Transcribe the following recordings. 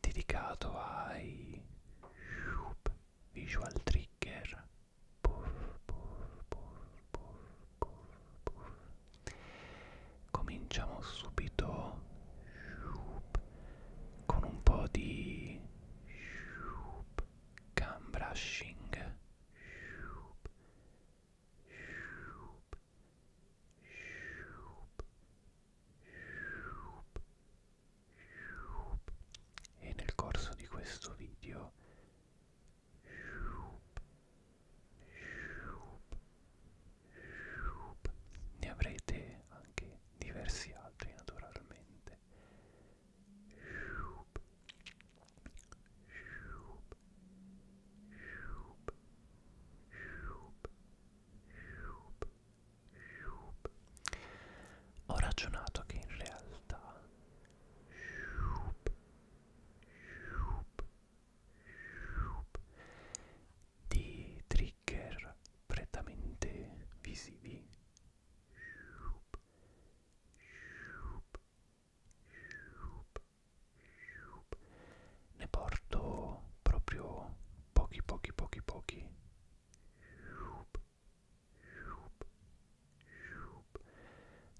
dedicato ai visual trigger puff, puff, puff, puff, puff, puff. cominciamo subito con un po' di cam brushing e nel corso di questo video ne avrete anche diversi altri naturalmente ho ragionato che in realtà di trigger prettamente visivi ne porto proprio pochi pochi pochi pochi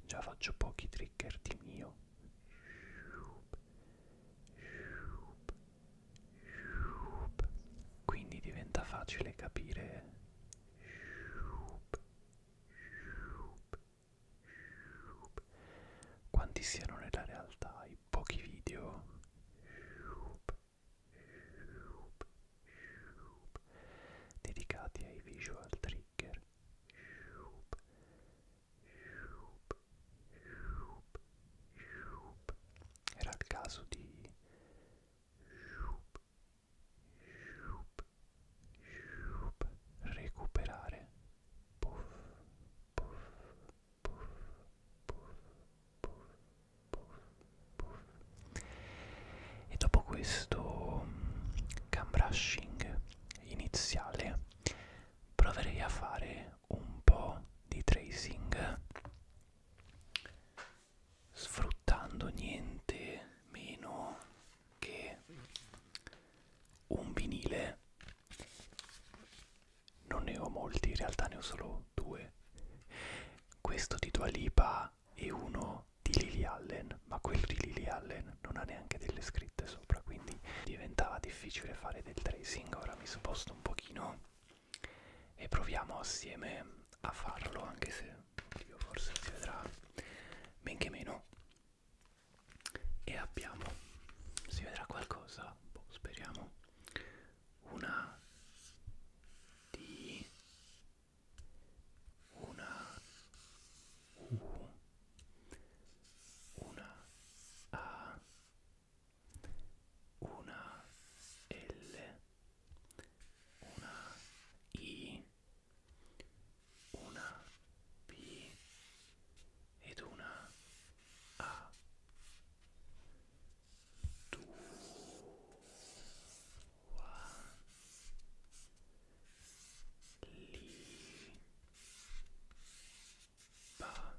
già faccio pochi trigger di mio quindi diventa facile capire quanti siano nella realtà i pochi video dedicati ai visual trigger era il caso di recuperare puff, puff, puff, puff, puff, puff, puff. E dopo questo mm, cam brushing iniziale proverei a fare un po' di tracing sfruttando niente meno che un vinile non ne ho molti, in realtà ne ho solo due. Questo di Dua Lipa e uno di Lily Allen, ma quello di Lily Allen non ha neanche delle scritte sopra, quindi diventava difficile fare del tracing. Ora mi sposto un pochino e proviamo assieme a farlo, anche se io forse si vedrà men che meno e abbiamo si vedrà qualcosa boh, speriamo una D una U una A una L una I una P ed una a due li pa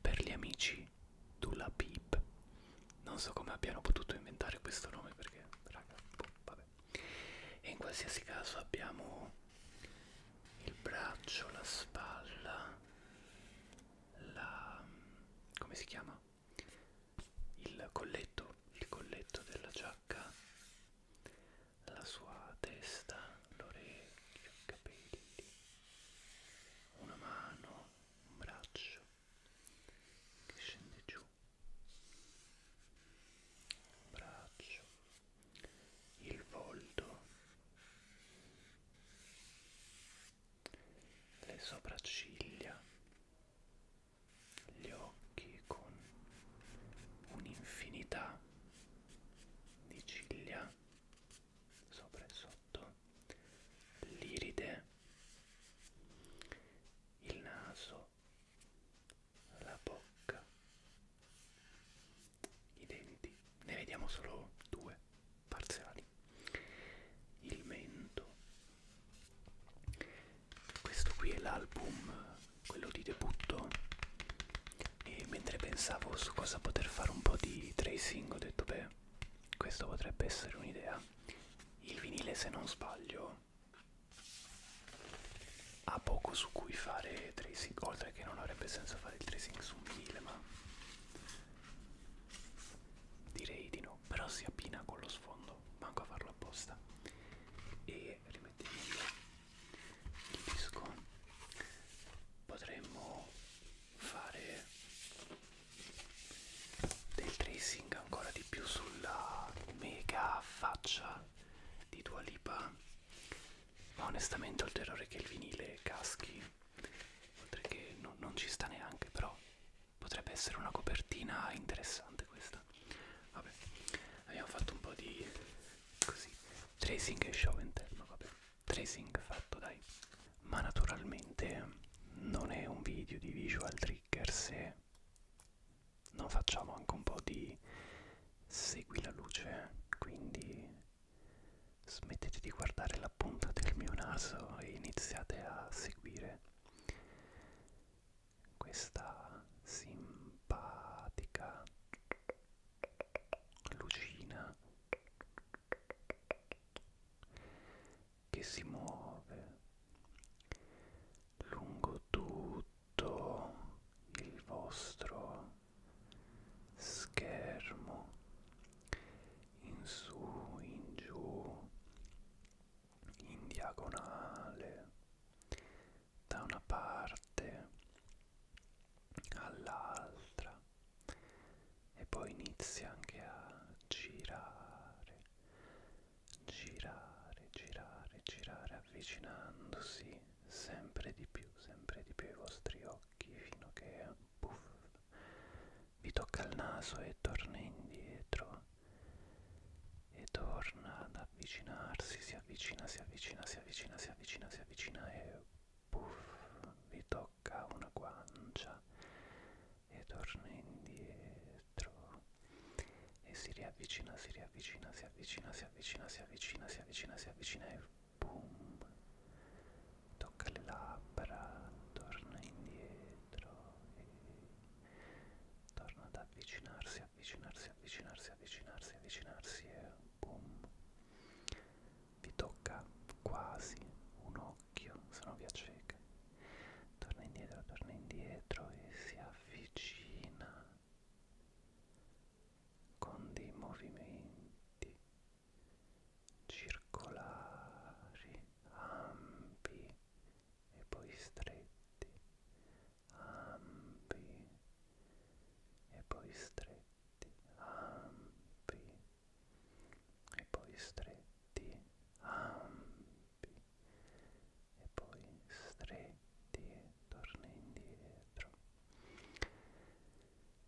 per gli amici Dula Pip non so come abbiano potuto inventare questo nome perché raga boh, vabbè e in qualsiasi caso abbiamo il braccio, la spalla, la... come si chiama? Il colletto, il colletto della giacca, la sua testa, l'orecchio, i capelli, una mano, un braccio che scende giù braccio, il volto, le sopracciglia, gli occhi con un'infinità di ciglia sopra e sotto, l'iride, il naso, la bocca, i denti, ne vediamo solo due parziali, il mento, questo qui è l'album, quello di debutto e mentre pensavo su cosa poter fare un po' di tracing ho detto beh questo potrebbe essere un'idea il vinile se non sbaglio ha poco su cui fare tracing oltre che non avrebbe senso fare il tracing su 1000 ma direi di no però si abbina con lo sfondo manco a farlo apposta e rimettiamo il disco potremmo fare del tracing ancora di più sulla mega faccia di Dua Lipa ma onestamente ho il terrore che il vinile caschi oltre che no, non ci sta neanche però potrebbe essere una copertina interessante questa vabbè abbiamo fatto un po' di così tracing e show interno vabbè tracing fatto dai ma naturalmente non è un video di visual trigger se no, facciamo anche un po' di segui la luce, quindi smettete di guardare la punta del mio naso e iniziate a seguire questa simpatica lucina che si muove lungo tutto il vostro schermo in su in giù in diagonale da una parte all'altra e poi inizia anche a girare girare, girare, girare, avvicinandosi sempre di più, sempre di più ai vostri occhi fino a che puff, vi tocca il naso e torna indietro e torna ad avvicinarsi, si avvicina, si avvicina, si avvicina, si avvicina, si avvicina e puff, vi tocca una guancia e torna indietro e si riavvicina, si riavvicina, si avvicina, si avvicina, si avvicina, si avvicina, si avvicina e boom, tocca le labbra, torna indietro e torna ad avvicinarsi, avvicinarsi, avvicinarsi, avvicinarsi, avvicinarsi e boom, vi tocca quasi un occhio occhio, se no vi acceca. Torna indietro, torna indietro e si avvicina con dei movimenti circolari, ampi e poi stretti, ampi e poi stretti, ampi e poi stretti, ampi e poi stretti e torna indietro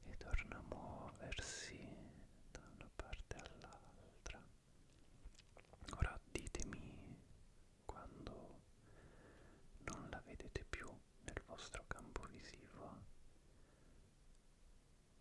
e torna a muoversi da una parte all'altra. Ora ditemi quando non la vedete più nel vostro campo visivo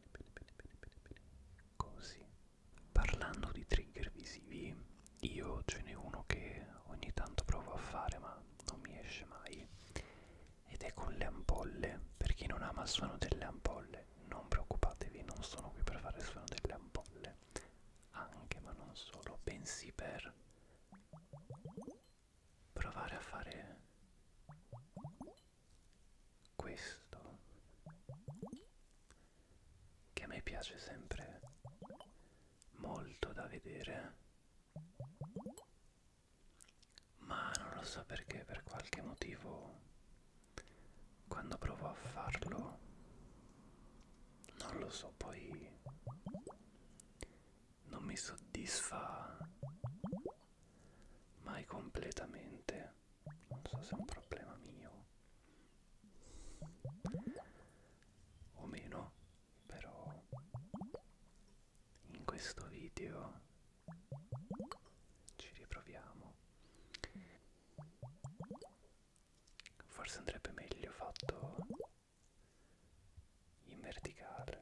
bene, bene, bene, bene, bene. Così. Parlando di trigger visivi, io ce n'è uno che ogni tanto provo a fare ma non mi esce mai. Ed è con le ampolle. Per chi non ama il suono delle ampolle, non preoccupatevi, non sono qui per fare il suono delle ampolle. Anche, ma non solo, bensì per provare a fare questo che a me piace sempre molto da vedere ma non lo so perché per qualche motivo quando provo a farlo non lo so poi non mi soddisfa mai completamente non so se è un problema mio o meno però in questo video ci riproviamo forse andrebbe meglio fatto in verticale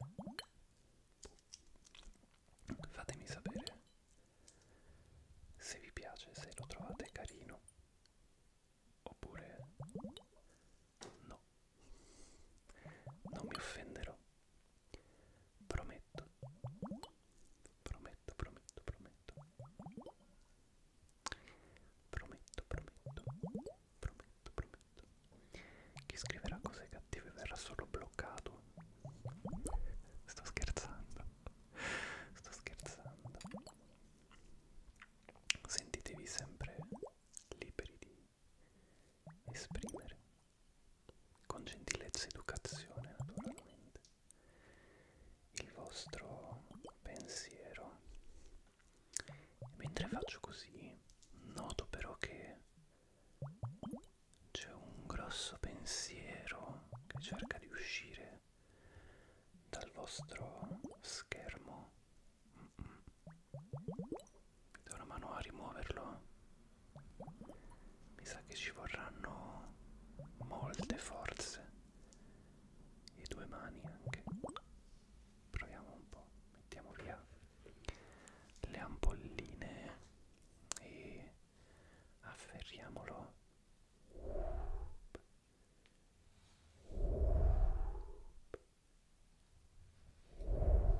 fatemi sapere se vi piace, se lo trovate carino oppure no. Non mi offenderò. Prometto. Prometto, prometto, prometto. Prometto, prometto. Prometto, prometto tutto. Chi scriverà cose cattive verrà solo bloccato. Sto scherzando. Sto scherzando. Sentitevi sempre liberi di esprimere con gentilezza ed educazione naturalmente il vostro pensiero. E mentre faccio così, noto però che c'è un grosso pensiero che cerca di uscire dal vostro schermo. Mm -mm. Do una mano a rimuoverlo. Mi sa che ci vorranno molte forze e due mani anche. Proviamo un po', mettiamo via le ampolline e afferriamolo Uop. Uop.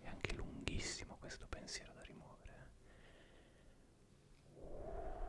È anche lunghissimo questo pensiero da rimuovere. Eh.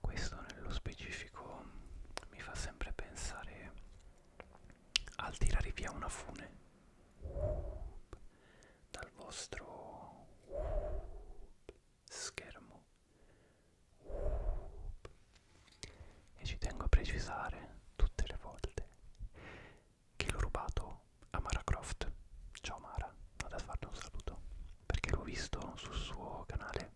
Questo nello specifico mi fa sempre pensare al tirare via una fune dal vostro schermo e ci tengo a precisare tutte le volte che l'ho rubato a Mara Croft ciao Mara vado a farle un saluto perché l'ho visto sul suo canale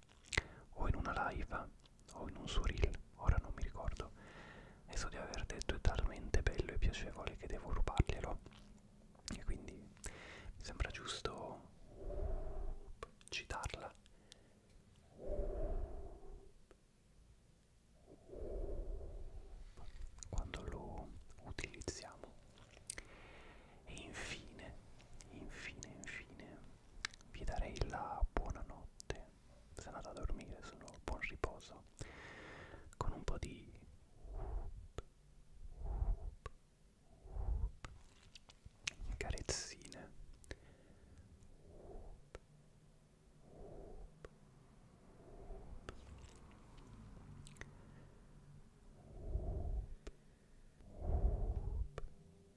o in una live o in un suo reel, ora non mi ricordo, e so di aver detto è talmente bello e piacevole che devo rubarglielo. E quindi mi sembra giusto citarla. Quando lo utilizziamo. E infine, infine, infine vi darei la buonanotte. Se andate a dormire, sono buon riposo. Con un po' di carezzine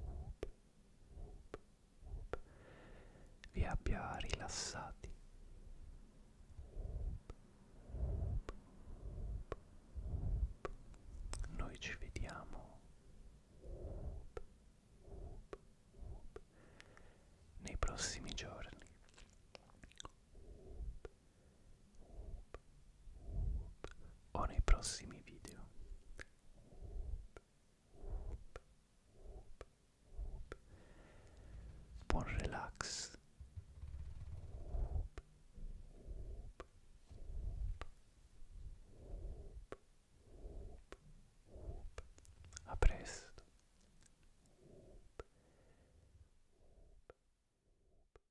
whoop, whoop, whoop, vi abbia rilassati. Whoop, whoop, whoop, whoop. Noi ci vediamo whoop, whoop, whoop. nei prossimi giorni. Whoop, o nei prossimi video. Buon relax. A presto.